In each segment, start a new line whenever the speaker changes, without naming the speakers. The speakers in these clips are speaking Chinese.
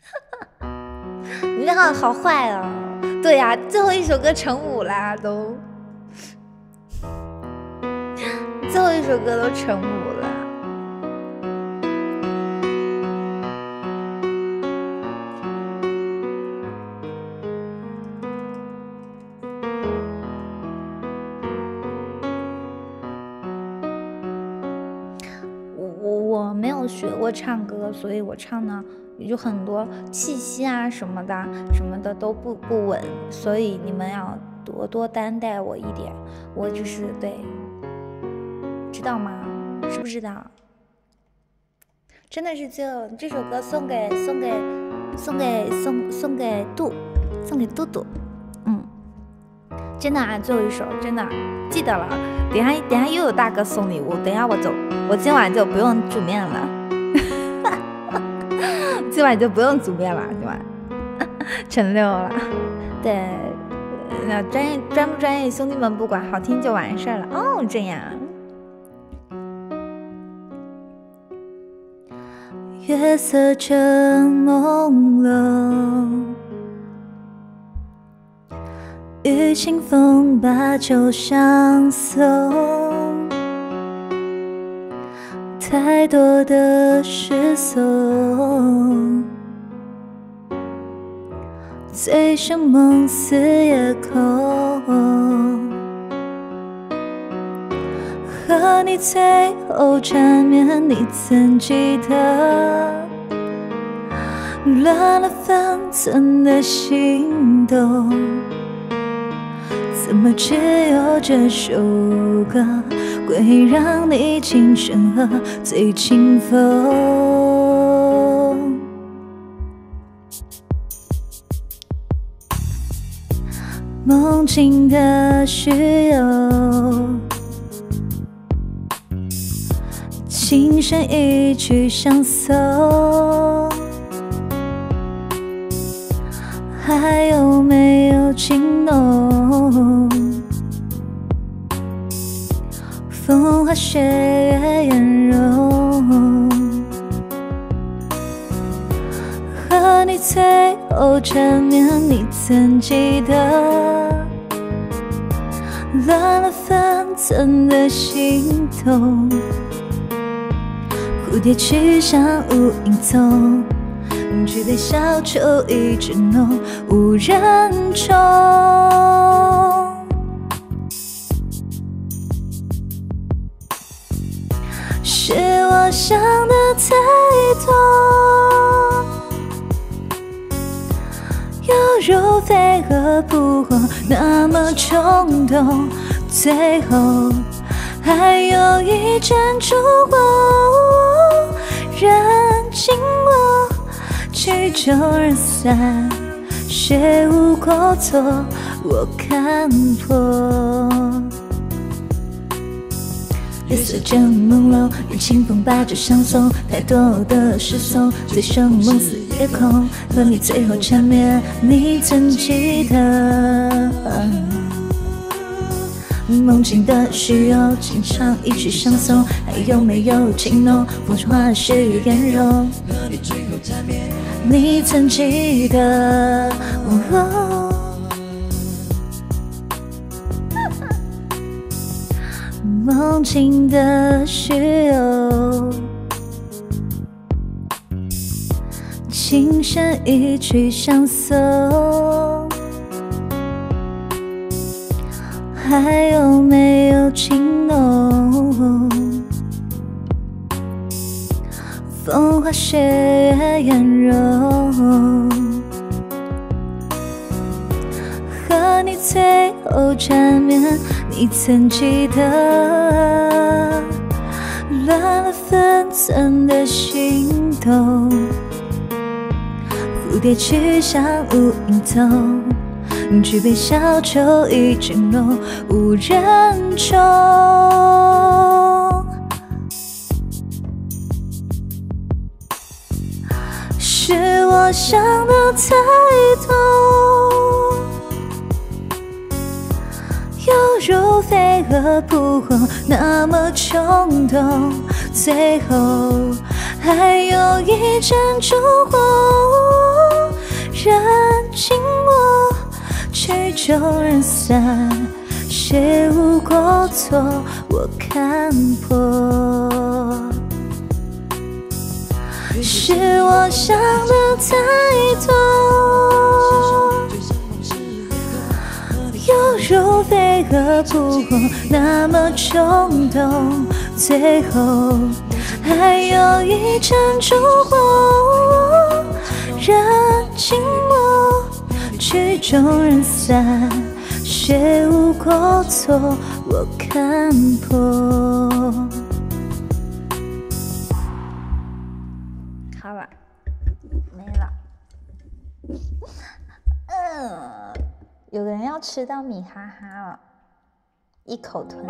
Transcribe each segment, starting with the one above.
哈哈，你好坏啊！
对呀，最后一首歌成五啦，都，最后一首歌都成五了。我我我没有学过唱歌，所以我唱呢也就很多气息啊什么的什么的都不不稳，所以你们要多多担待我一点，我就是对，知道吗？知不知道？真的是就这首歌送给送给送给送送给杜，送给杜杜，嗯。真的啊，最后一首真的记得了。等下等下又有大哥送礼物，等下我就我 今晚就不用煮面了，今晚就不用煮面了，对吧？成六了，对，专业专不专业兄弟们不管，好听就完事儿了哦。这样，月色正朦胧。与清风把酒相送，太多的失送，醉生梦死也空，和你最后缠绵。你。曾记得乱了分寸的心动？怎么只有这首歌会让你轻声和醉清风？梦境的虚有。琴声一曲相送，还有没有情浓？风花雪月颜容，和你最后缠绵，你曾记得？乱了分寸的心动，蝴蝶去向无影踪，举杯消愁意正浓，无人宠。是我想的太多。犹如飞蛾扑火那么冲动，最后还有一盏烛火燃尽我，曲终人散，谁无过错？我看破。夜色正朦胧，与清风把酒相送。太多的失颂，醉生梦死也空。和你最后缠绵，你曾记得？梦境的虚有，轻唱一曲相送。还有没有情浓？风吹花雪，月颜容。和你最后缠绵，你曾记得？梦境的虚有，琴声一曲相送，还有没有情浓？风花雪月颜容。和你最后缠绵，你曾记得乱了分寸的心动？蝴蝶去向无影踪，举杯消愁亦成浓，无人宠。是我想得太多，犹如飞蛾扑火那么冲动，最后还有一盏烛火燃尽我，曲终人散，谁无过错？我看破，是我想的太多，犹如飞蛾扑火那么冲动，最后还有一盏烛火燃尽我，曲终人散。谁无过错？我看破。好了，没了。嗯，有人要吃到米哈哈了，一口吞。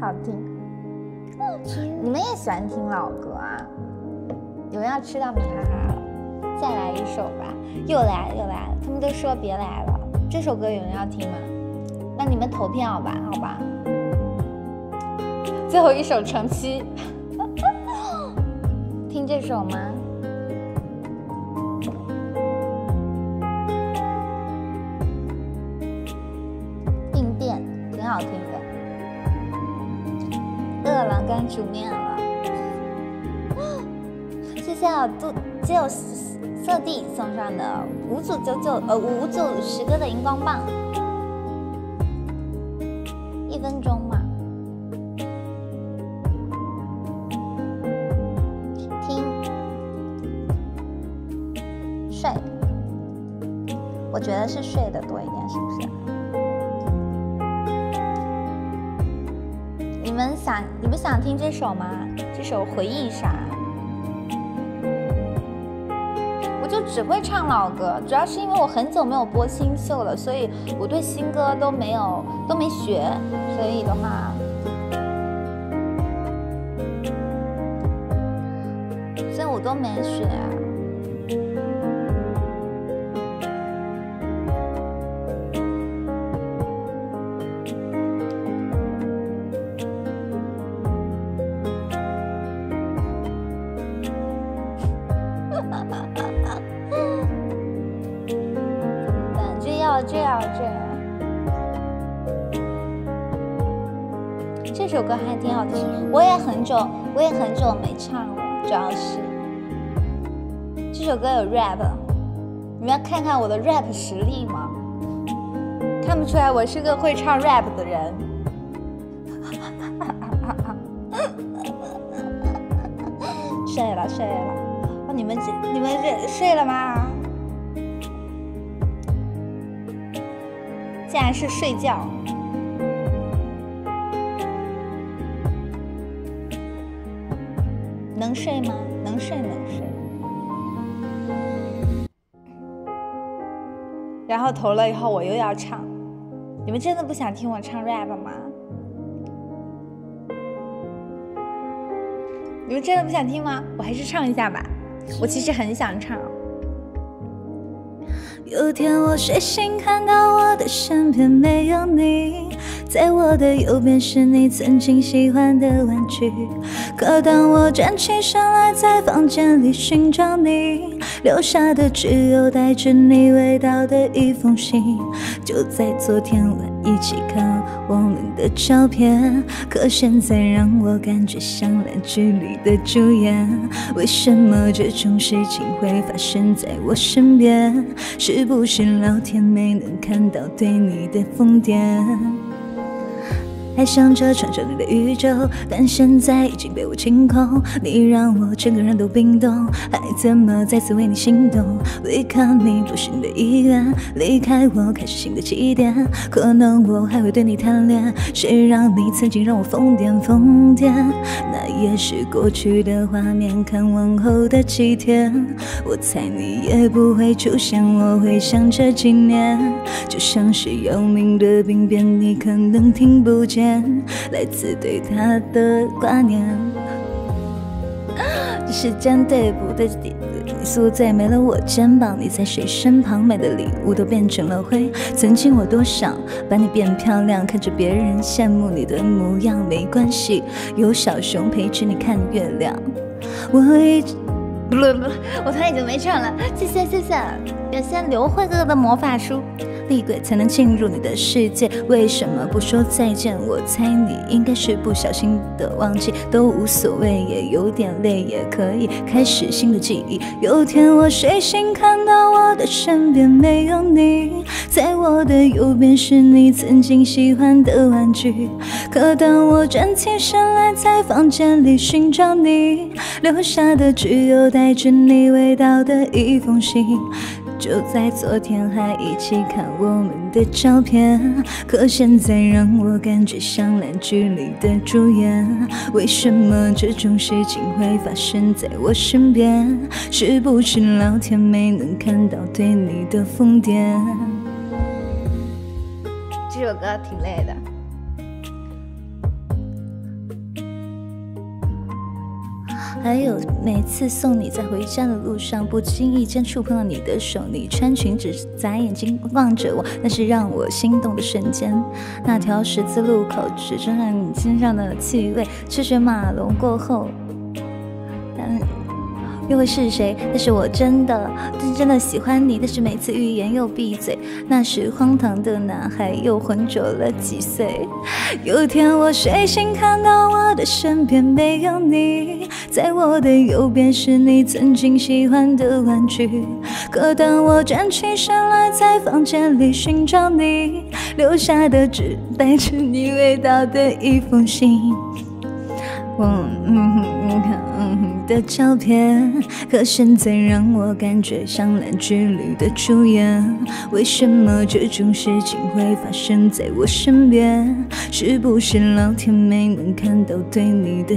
好听，你们也喜欢听老歌啊？有人要吃到米哈哈了，再来一首吧，又来又来，了，他们都说别来了。这首歌有人要听吗？那你们投票吧，好吧。最后一首《成七》，听这首吗？病变挺好听的，饿了该煮面了。谢谢就九色帝送上的五组九九呃五组十个的荧光棒，一分钟嘛，听。睡，我觉得是睡的多一点，是不是？你们想，你们想听这首吗？这首回忆啥？我就只会唱老歌，主要是因为我很久没有播新秀了，所以我对新歌都没有都没学，所以的话。所以我都没学。哈哈哈要这样，这样。这首歌还挺好听，我也很久，我也很久没唱了，主要是这首歌有 rap，你们要看看我的 rap 实力吗？看不出来我是个会唱 rap 的人，睡了睡了，你们这你们这睡了吗？竟然是睡觉，能睡吗？能睡能睡。然后投了以后，我又要唱。你们真的不想听我唱 rap 吗？你们真的不想听吗？我还是唱一下吧。我其实很想唱。有天我睡醒看到我的身边没有你，在我的右边是你曾经喜欢的玩具。可当我站起身来在房间里寻找你留下的，只有带着你味道的一封信。就在昨天们一起看我们的照片。可现在让我感觉像烂剧里的主演，为什么这种事情会发生在我身边？是不是老天没能看到对你的疯癫？还想着传说里的宇宙，但现在已经被我清空。你让我整个人都冰冻，还怎么再次为你心动？违抗你不是你的意愿。离开我，开始新的起点。可能我还会对你贪恋。谁让你曾经让我疯癫疯癫？那也是过去的画面。看往后的几天，我猜你也不会出现。我会想这几年，就像是要命的病变，你可能听不见来自对他的挂念。时 间对不对？你宿醉没了我肩膀，你在谁身旁买的礼物都变成了灰。曾经我多想把你变漂亮，看着别人羡慕你的模样。没关系，有小熊陪着你看月亮。我一不不不，我他已经没唱了，谢谢谢谢，感谢刘慧哥哥的魔法书。厉鬼才能进入你的世界，为什么不说再见？我猜你应该是不小心的忘记。都无所谓，也有点累，也可以开始新的记忆。有天我睡醒，看到我的身边没有你，在我的右边是你曾经喜欢的玩具。可当我站起身来，在房间里寻找你留下的，只有带着你味道的一封信。就在昨天，还一起看我们的照片。可现在让我感觉像烂剧里的主演，为什么这种事情会发生在我身边？是不是老天没能看到对你的疯癫？这首歌挺累的。还有每次送你在回家的路上，不经意间触碰到你的手，你穿裙子。眨眼睛望着我，那是让我心动的瞬间。那条十字路口，只剩染你身上的气味。车水马龙过后，但又会是谁？但是我真的，是真的喜欢你。但是每次欲言又闭嘴。那时荒唐的男孩，又浑浊了几岁？有天我睡醒，看到我的身边没有你，在我的右边是你曾经喜欢的玩具。可当我站起身来，在房间里寻找你留下的、只带着你味道的一封信、我嗯嗯、的照片，可现在让我感觉像烂剧里的主演。为什么这种事情会发生在我身边？是不是老天没能看到对你的？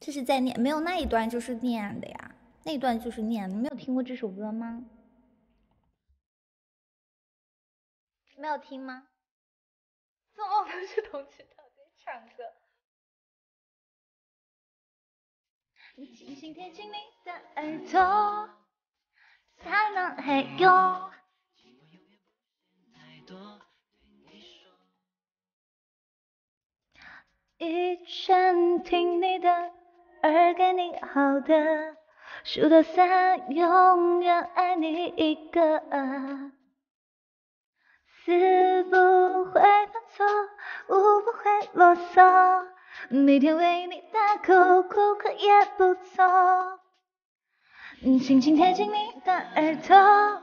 这是在念，没有那一段就是念的呀，那一段就是念。你没有听过这首歌吗？没有听吗？
做梦都是同曲调的唱歌。
一拳听你的，二给你好的，数到三永远爱你一个。四不会犯错五不会啰嗦，每天为你大哭，哭哭也不错。轻轻贴近你的耳朵。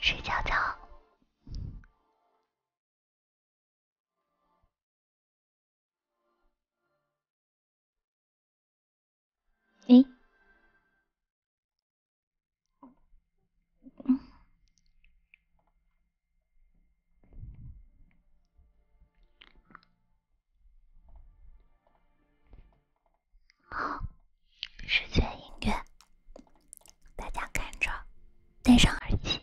睡觉觉。哎，好，视觉音乐，大家跟着，戴上耳机。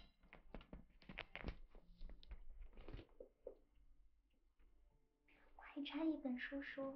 快拆一本书说。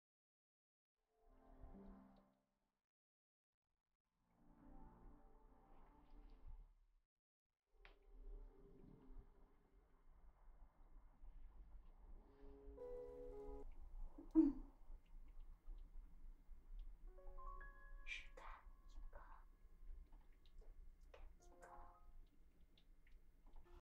嗯，是看一个，看一个。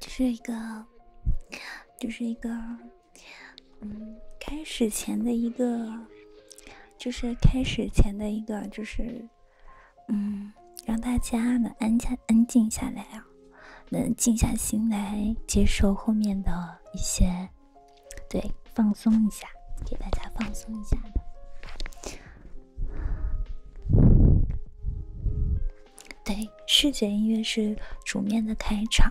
就是一个，就是一个，嗯，开始前的一个，就是开始前的一个，就是，嗯，让大家能安下、安静下来啊，能静下心来接受后面的一些，对，放松一下，给大家放松一下的。对，视觉音乐是主面的开场。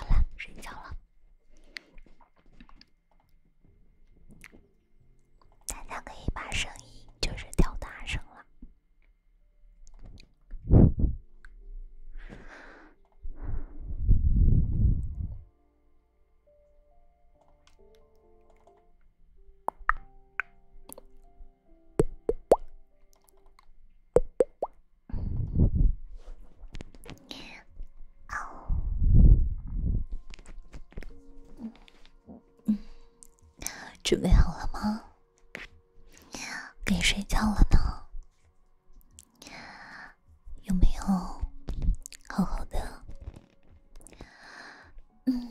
好了，睡觉了。大家可以把声音就是调大声了。准备好了吗？该睡觉了呢。有没有好好的？嗯，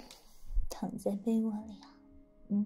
躺在被窝里啊。嗯。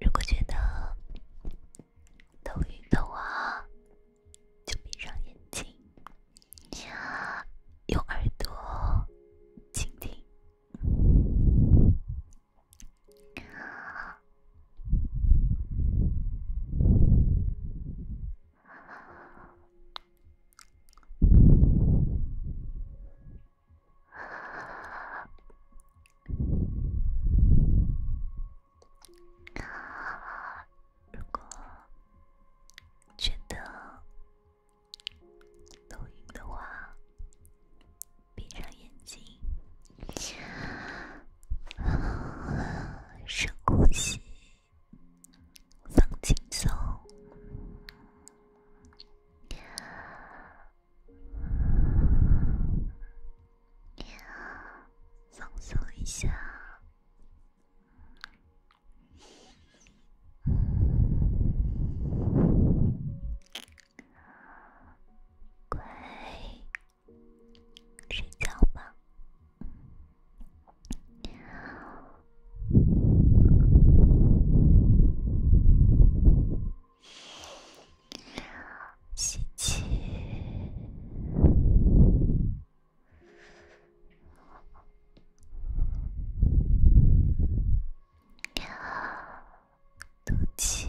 如果觉得头晕的话，就闭上眼睛，用耳朵倾听。如果觉得头晕的话，闭上眼睛。深呼吸，放轻松，
放松一下，乖。睡觉吧，
吸气，呼气。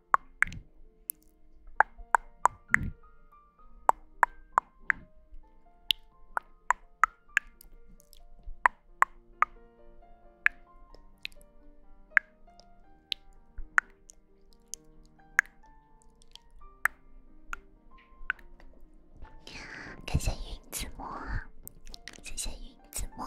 感谢云子墨，谢谢云子墨。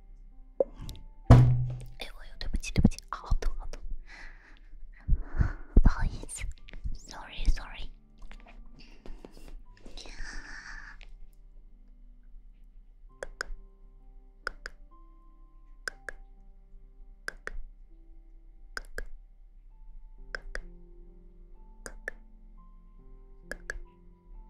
哎，我有对不起，对不起，啊，好痛，好痛，不好意思，sorry，sorry。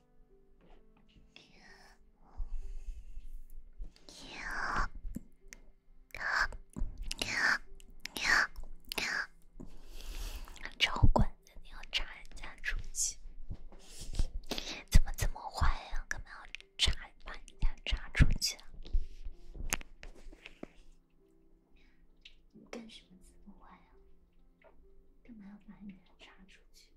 你好，你好，你好，你好，你好！超管，你要扎人家出去？怎么这么坏呀？干嘛要扎把人家扎出去你干什么这么坏啊？干嘛要把人家插出去？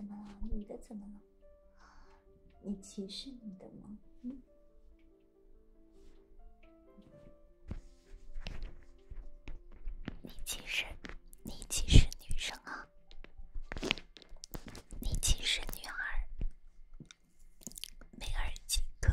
怎么了？你的怎么了？你歧视你的吗？
你歧视你歧视女生啊？你歧视女孩，没耳机可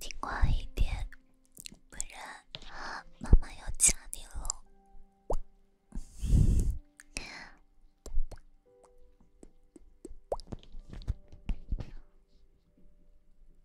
听话一点，不然妈妈要掐你了。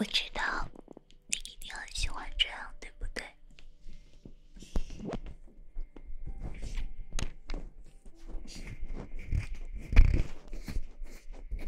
我知道你一定很喜欢这样，对不对？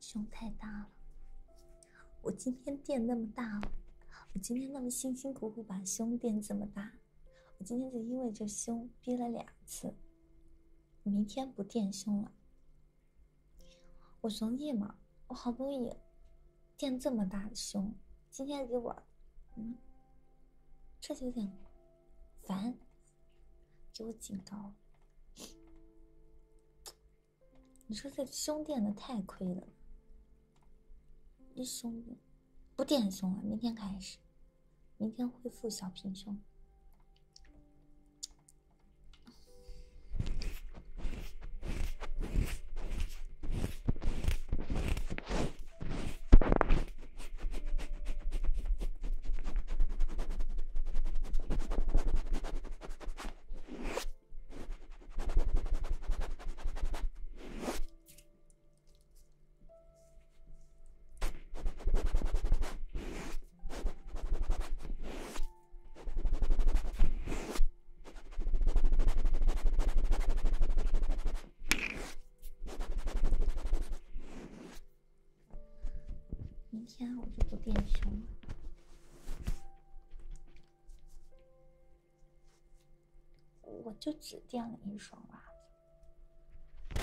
胸太大了，我今天垫那么大，我今天那么辛辛苦苦把胸垫这么大，我今天就因为这胸憋了两次，明天不垫胸了，我容易吗？我好不容易垫这么大的胸，今天给我，嗯，这有点烦，给我警告。你说这胸垫的太亏了，一胸垫不垫胸了，明天开始，明天恢复小平胸。明天我就不垫胸。我就只垫了一双袜子，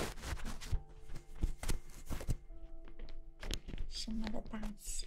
什么的大气。